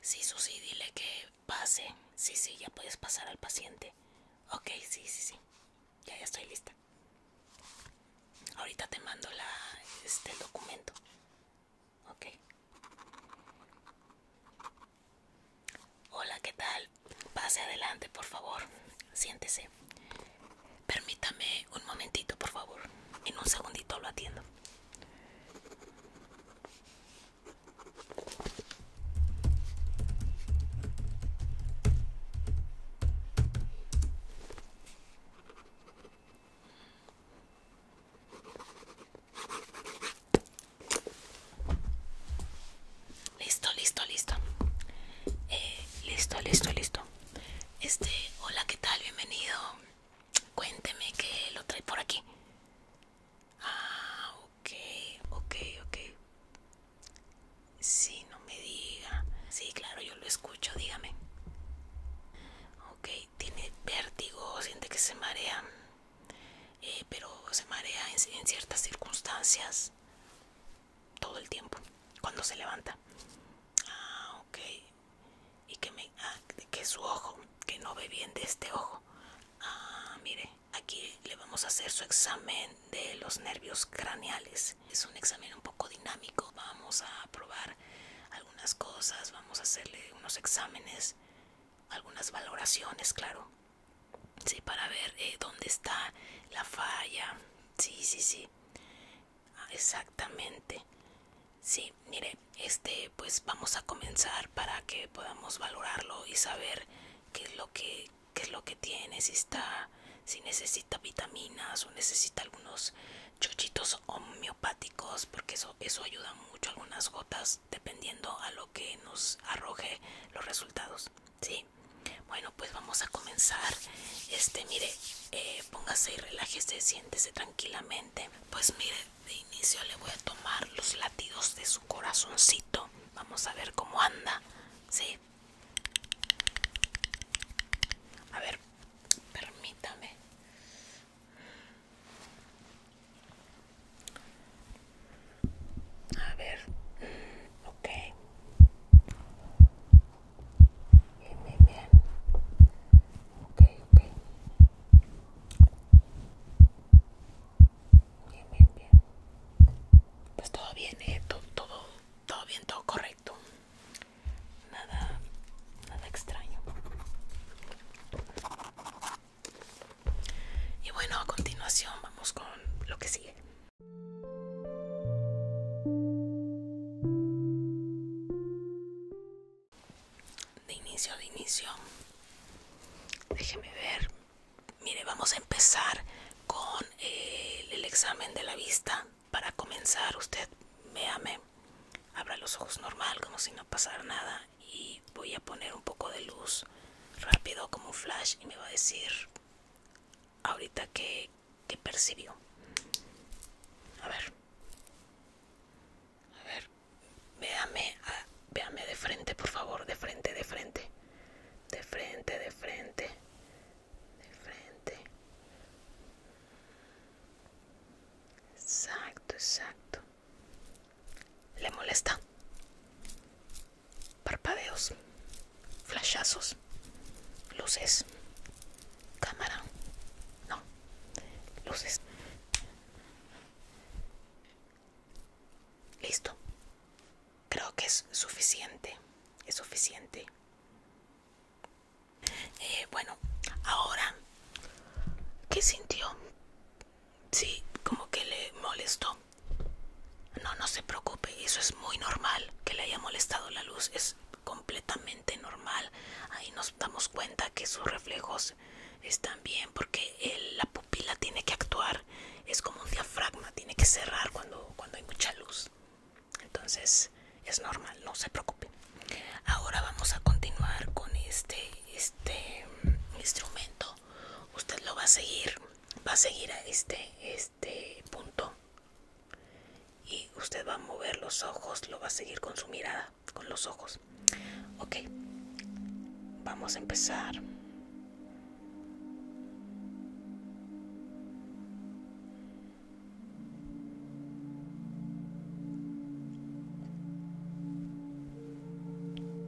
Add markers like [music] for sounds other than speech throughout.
Sí, Susi, dile que pase. Sí, sí, ya puedes pasar al paciente. Ok, sí, sí, sí. Ya, ya estoy lista. Ahorita te mando la, este, documento. Ok. Hola, ¿qué tal? Pase adelante, por favor. Siéntese. Permítame un momentito, por favor. En un segundito lo atiendo. Listo, listo, listo. Eh, listo, listo, listo. Este, hola, ¿qué tal? Bienvenido. Cuénteme que lo trae por aquí. Ah, ok, ok, ok. Sí, no me diga. Sí, claro, yo lo escucho, dígame. Ok, tiene vértigo, siente que se marea. Eh, pero se marea en, en ciertas circunstancias. Todo el tiempo. Cuando se levanta. Ah, ok y ah, que su ojo que no ve bien de este ojo ah, mire aquí le vamos a hacer su examen de los nervios craneales es un examen un poco dinámico vamos a probar algunas cosas vamos a hacerle unos exámenes algunas valoraciones claro sí para ver eh, dónde está la falla sí sí sí ah, exactamente sí mire este pues vamos a comenzar para que podamos valorarlo y saber qué es lo que es lo que tiene si está si necesita vitaminas o necesita algunos chochitos homeopáticos porque eso eso ayuda mucho algunas gotas dependiendo a lo que nos arroje los resultados sí bueno pues vamos a comenzar este mire eh, póngase y relájese siéntese tranquilamente pues mire de inicio le voy a tomar los latidos de su corazoncito vamos a ver cómo anda sí a ver permítame a ver mm, ok bien bien bien ok ok Bien, bien, bien. Pues todo bien, eh, todo, todo, todo bien, todo correcto. Nada, nada extraño. Y bueno, a continuación vamos con lo que sigue de inicio, de inicio. Déjeme ver. Mire, vamos a empezar con eh, el examen de la vista. Para comenzar, usted véame, abra los ojos normal, como si no pasara nada. Y voy a poner un poco de luz rápido, como un flash, y me va a decir ahorita que, que percibió. A ver. A ver, véame, véame de frente, por favor, de frente, de frente. De frente, de frente. De frente. Exacto, exacto. Le molesta. Parpadeos. Flashazos. Luces. Cámara. No. Luces. Listo. Creo que es suficiente. Es suficiente. Eh, bueno, ahora, ¿qué sintió? Sí, como que le molestó. No, no se preocupe, eso es muy normal que le haya molestado la luz, es completamente normal. Ahí nos damos cuenta que sus reflejos es están bien porque la pupila tiene que actuar es como un diafragma tiene que cerrar cuando, cuando hay mucha luz entonces es normal no se preocupe ahora vamos a continuar con este este mm, instrumento usted lo va a seguir va a seguir a este este punto y usted va a mover los ojos lo va a seguir con su mirada con los ojos. okay. vamos a empezar.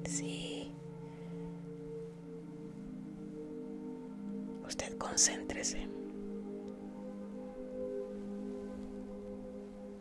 Sí. Usted concéntrese.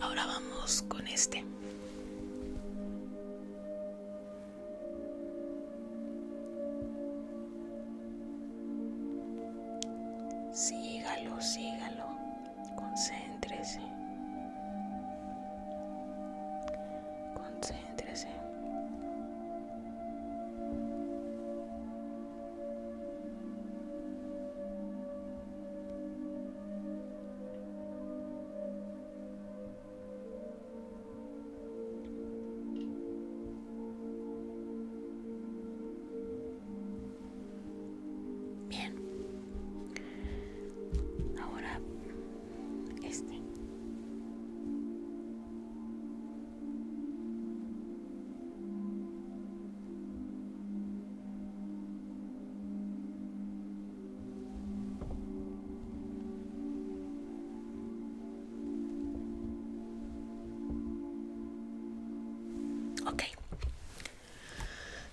Ahora vamos con este. Sígalo, sígalo. Concéntrese. Concéntrese. Bien, ahora este.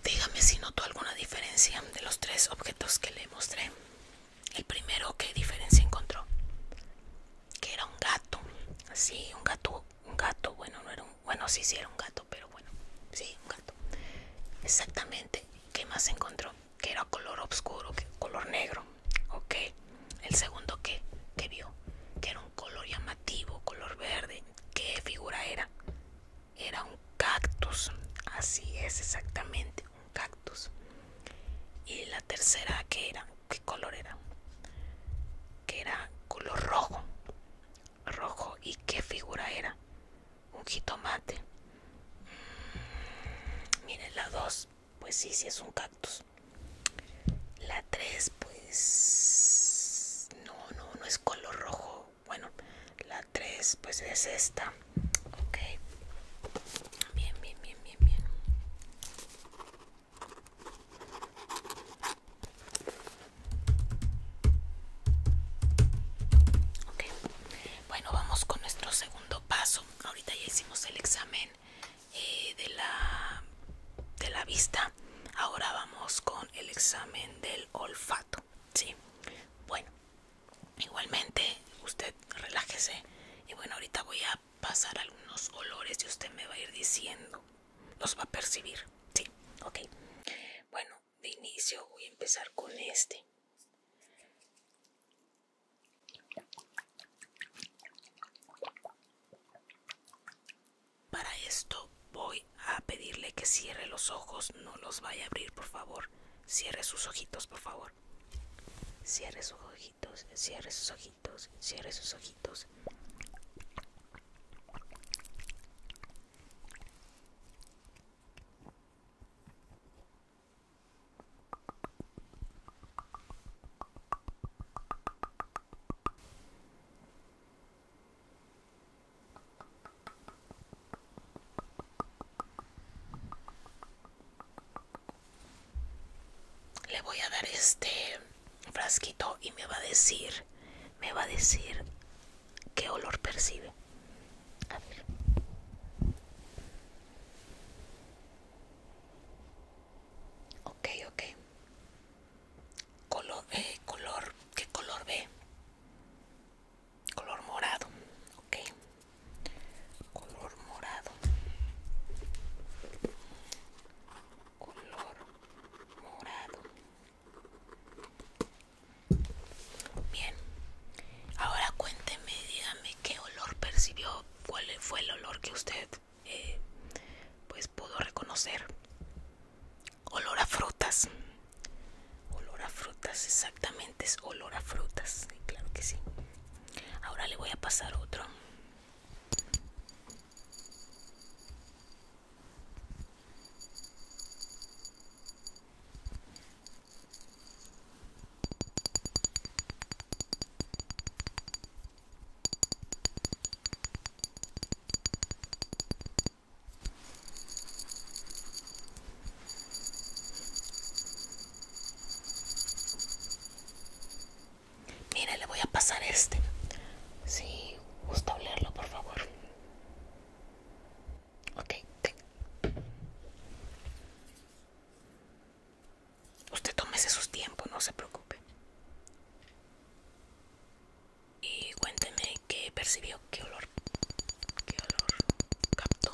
dígame si notó alguna diferencia de los tres objetos que le mostré. El primero que diferencia encontró que era un gato, sí, un gato, un gato, bueno, no era un, bueno, sí, sí era un gato, pero bueno, sí, un gato. Exactamente, ¿qué más encontró? Que era color oscuro, que, color negro, Okay. El segundo que, que vio, que era un color llamativo, color verde, ¿qué figura era? era un cactus, así es exactamente, un cactus. Y la tercera ¿qué era, ¿qué color era? Que era color rojo, rojo. ¿Y qué figura era? Un jitomate. Mm, miren la dos, pues sí, sí es un cactus. La tres, pues no, no, no es color rojo, bueno la 3 pues es esta ok bien bien bien bien bien ok bueno vamos con nuestro segundo paso ahorita ya hicimos el examen eh, de la de la vista ahora vamos con el examen del olfato sí bueno Igualmente, usted relájese. Y bueno, ahorita voy a pasar algunos olores y usted me va a ir diciendo. Los va a percibir. Sí, ok. Bueno, de inicio voy a empezar con este. Para esto voy a pedirle que cierre los ojos, no los vaya a abrir, por favor. Cierre sus ojitos, por favor. Cierre sus ojitos, cierre sus ojitos, cierre sus ojitos. Le voy a dar este frasquito y me va a decir, me va a decir qué olor percibe. A Ok, ok. Color, eh, color, ¿qué color ve? color morado ok color morado color morado bien ahora cuénteme dígame qué olor percibió cuál fue el olor que usted eh, pues pudo reconocer olor a frutas Olor a frutas, exactamente es olor a frutas, claro que sí. Ahora le voy a pasar otro. Mire, le voy a pasar este. Si gusta olerlo, por favor. Ok, Usted tómese sus tiempos, no se preocupe. Y cuénteme qué percibió, qué olor, qué olor captó.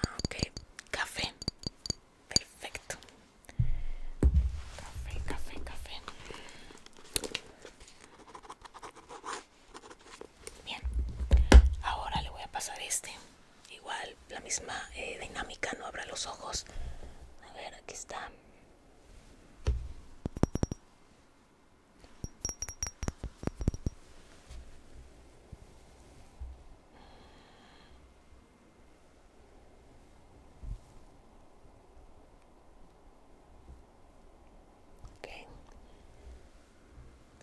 Ah, ok café perfecto café café café bien ahora le voy a pasar este igual la misma eh, dinámica no abra los ojos a ver aquí está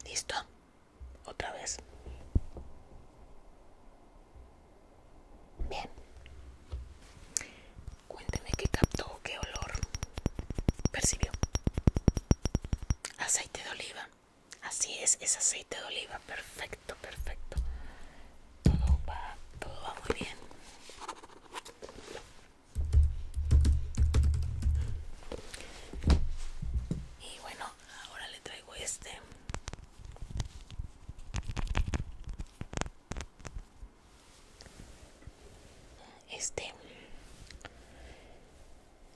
Listo. Otra vez. Bien. Cuénteme qué captó, qué olor percibió aceite de oliva así es es aceite de oliva perfecto perfecto todo va todo va muy bien y bueno ahora le traigo este este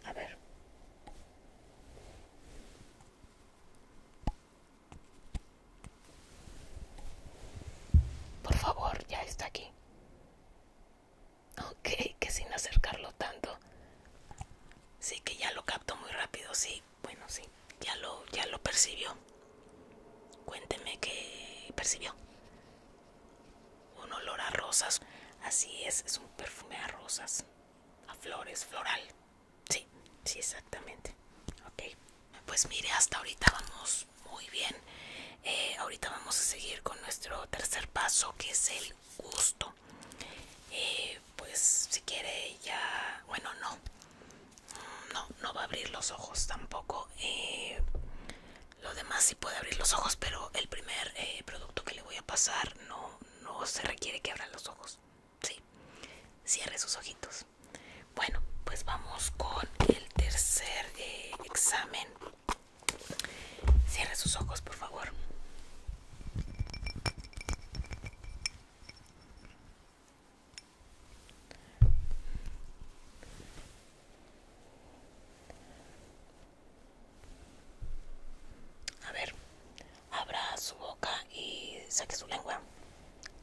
a ver. Por favor, ya está aquí. Ok, que sin acercarlo tanto. Sí, que ya lo capto muy rápido, sí. Bueno, sí, ya lo, ya lo percibió. Cuénteme qué percibió un olor a rosas. Así es, es un perfume a rosas, a flores, floral. Sí, sí, exactamente. Ok, pues mire, hasta ahorita vamos muy bien. Eh, ahorita vamos a seguir con nuestro tercer paso que es el gusto. Eh, pues si quiere ya, bueno, no, no, no va a abrir los ojos tampoco. Eh, lo demás sí puede abrir los ojos, pero el primer producto que le voy a pasar no, se requiere que abran los ojos. Sí, cierre sus ojitos. Bueno, pues vamos con el tercer eh, examen. Cierre sus ojos, por favor. A ver, abra su boca y saque su lengua.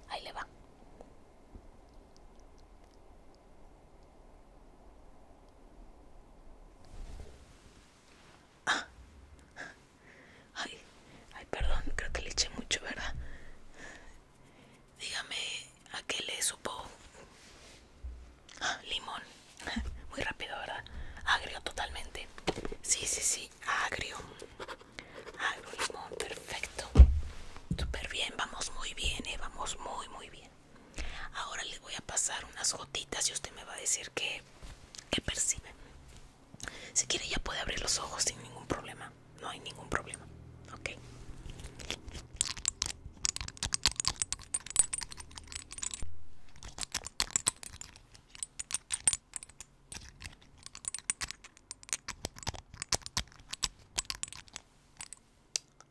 Ahí le va. Ah. Ay, ay, perdón, creo que le eché mucho, ¿verdad? Dígame, ¿a qué le supo? ¡Ah, [gasps] limón [laughs] muy rápido verdad agrio totalmente sí sí sí agrio agrio limón perfecto súper bien vamos muy bien ¿eh? vamos muy muy bien ahora le voy a pasar unas gotitas y usted me va a decir qué que percibe si quiere ya puede abrir los ojos sin ningún problema no hay ningún problema ok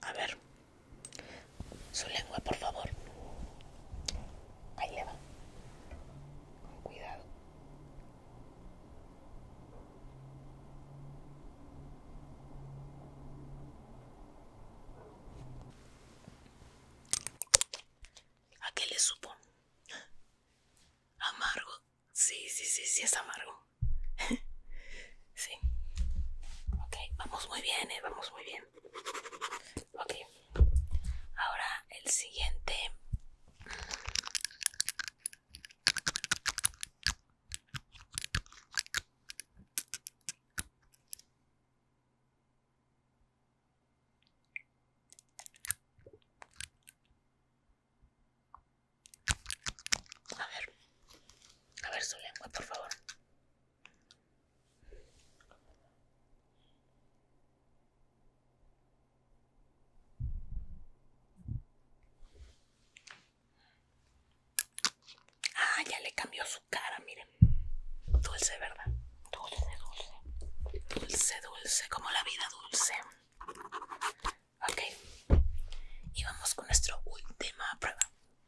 a ver, su lengua, por favor. Ahí le va. Con cuidado. ¿A qué le supo? Amargo. Sí, sí, sí, sí es amargo. [laughs] sí. Ok, vamos muy bien, eh, vamos muy bien. Ok. Ahora el siguiente. A ver, a ver su lengua, por favor. Ah, ya le cambió su cara, mire dulce. ¿verdad? Dulce, dulce. Dulce, dulce, como la vida dulce. Ok. Y vamos con nuestra última prueba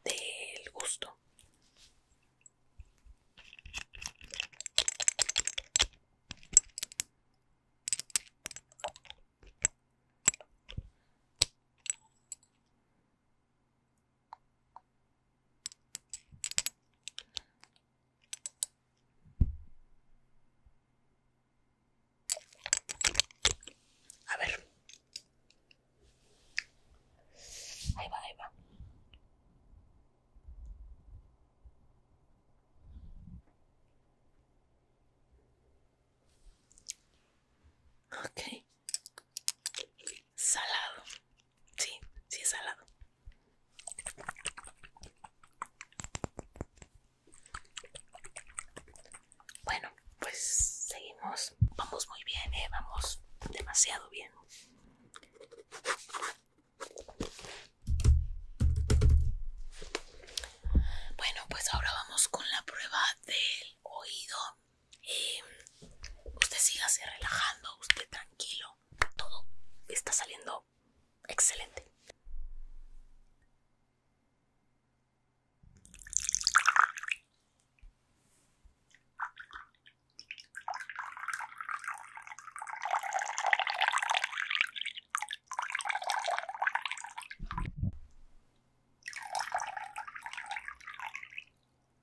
del gusto. A ver. Ahí va, ahí va. Okay salado. Sí, sí es salado. Bueno, pues seguimos. Vamos muy bien, ¿eh? Vamos demasiado bien. Bueno, pues ahora vamos con la prueba del oído. Em, usted usted se relajando, usted tranquilo todo, está saliendo excelente.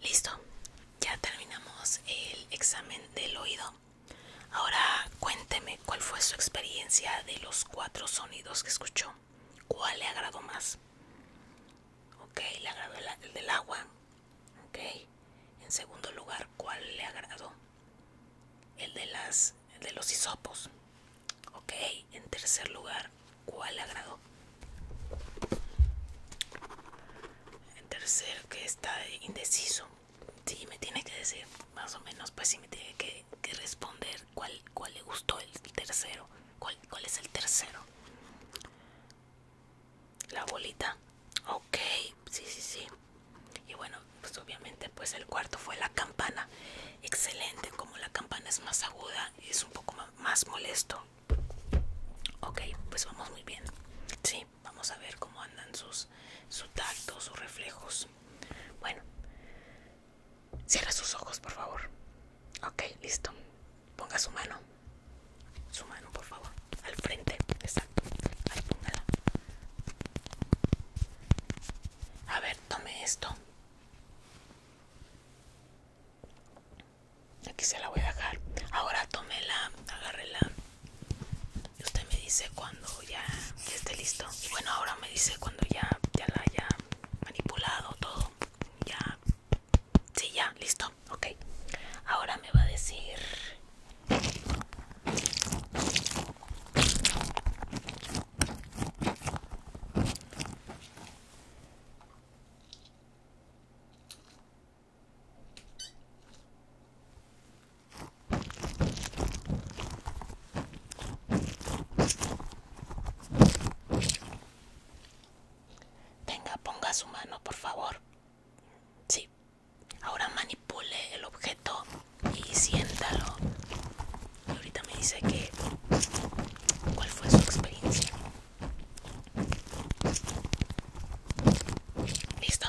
Listo, ya terminamos el examen del oído. Ahora cuénteme cuál fue su experiencia de los cuatro sonidos que escuchó. ¿Cuál le agradó más? Ok, le agradó el, del agua. Ok. En segundo lugar, ¿cuál le agradó? El de las el de los hisopos. Ok. En tercer lugar, ¿cuál le agradó? En tercer que está indeciso sí me tiene que decir más o menos pues sí me tiene que, responder cuál, le gustó el tercero cuál, es el tercero la bolita ok sí sí sí y bueno pues obviamente pues el cuarto fue la campana excelente como la campana es más aguda es un poco más molesto ok pues vamos muy bien sí vamos a ver cómo andan sus su sus reflejos. Bueno, cierra sus ojos, por favor. Ok, listo. Ponga su mano. Su mano, por favor. Al frente. Exacto. Ahí póngala. A ver, tome esto. Aquí se la voy a dejar. Ahora tómela, agárrela usted me dice cuando ya esté listo y bueno ahora me dice cuando ya ya la haya manipulado todo ya sí ya listo ok ahora me va a decir Venga, ponga su mano, por favor. Sí. Ahora manipule el objeto y siéntalo. Y ahorita me dice que cuál fue su experiencia. Listo.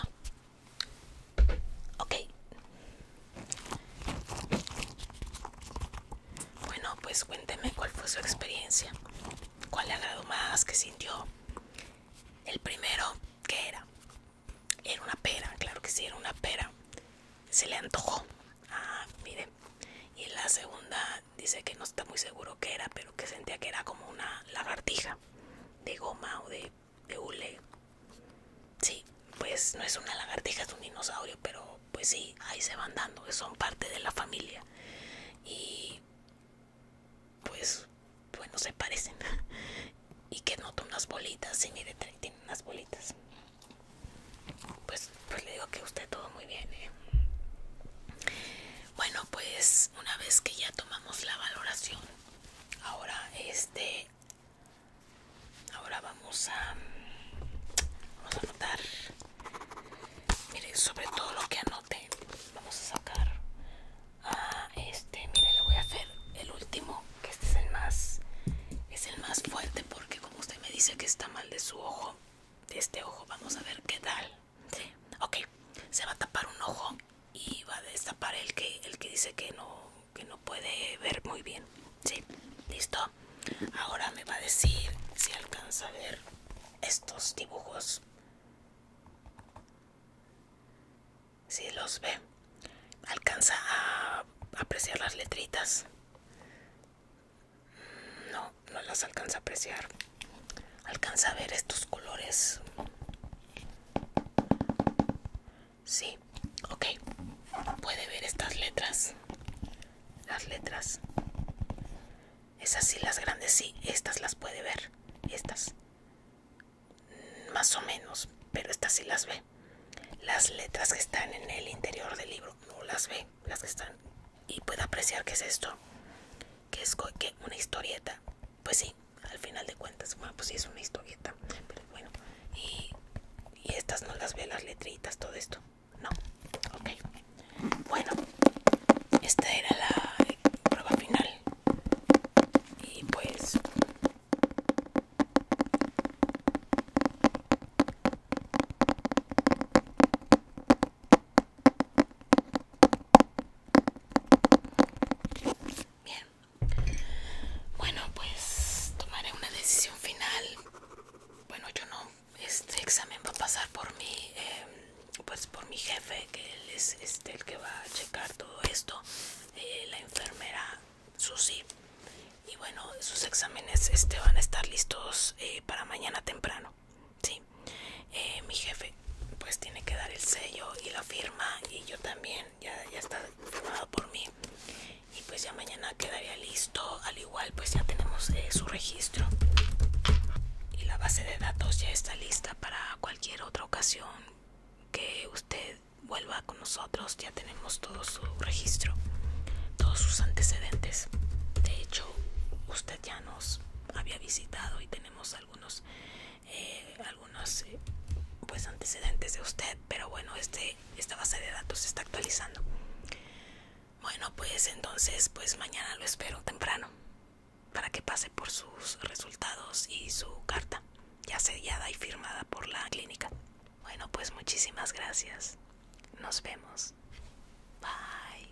Ok. Bueno, pues cuénteme cuál fue su experiencia. ¿Cuál le agradó más? que sintió? El primero, ¿qué era? Era una pera, claro que sí, era una pera. Se le antojó. Ah, mire. Y la segunda dice que no está muy seguro qué era, pero que sentía que era como una lagartija de goma o de de hule. Sí, pues no es una lagartija, es un dinosaurio, pero pues sí, ahí se van dando, son parte de la familia. Y pues, bueno, se parecen. [laughs] Y que noto unas bolitas, sí, mire, tiene unas bolitas. Pues, pues le digo que usted todo muy bien, ¿eh? Bueno, pues una vez que ya tomamos la valoración, ahora este ahora vamos a vamos a anotar Mire, sobre todo lo que anote vamos a sacar a este mire le voy a hacer el último que este es el más es el más fuerte porque como usted me dice que está mal de su ojo de este ojo vamos a ver qué tal ok se va a tapar un ojo y va a destapar el que el que dice que no que no puede ver muy bien sí listo ahora me va a decir si alcanza a ver estos dibujos si los ve alcanza a apreciar las letritas no no las alcanza a apreciar alcanza a ver estos colores Sí, ok. Puede ver estas letras. Las letras. Esas sí, las grandes sí. Estas las puede ver. Estas. Más o menos. Pero estas sí las ve. Las letras que están en el interior del libro no las ve. Las que están. Y puede apreciar que es esto. Que es que una historieta. Pues sí, al final de cuentas, bueno, pues sí es una historieta, pero bueno, y, estas no las veo las letritas, todo esto, no, ok, bueno, esta era la prueba final, y pues, bien, bueno pues tomaré una decisión final bueno yo no este examen va a pasar por mi eh, pues por mi jefe que él es este, el que va a checar todo esto eh, la enfermera Susi y bueno sus exámenes este van a estar listos eh, para mañana temprano sí mi jefe pues tiene que dar el sello y la firma y yo también ya, está firmado por mí y pues ya mañana quedaría listo, al igual pues ya tenemos eh, su registro y la base de datos ya está lista para cualquier otra ocasión que usted vuelva con nosotros, ya tenemos todo su registro, todos sus antecedentes. De hecho, usted ya nos había visitado y tenemos algunos eh, no sé eh, pues antecedentes de usted pero bueno este esta base de datos se está actualizando bueno pues entonces pues mañana lo espero temprano para que pase por sus resultados y su carta ya sellada y firmada por la clínica bueno pues muchísimas gracias nos vemos bye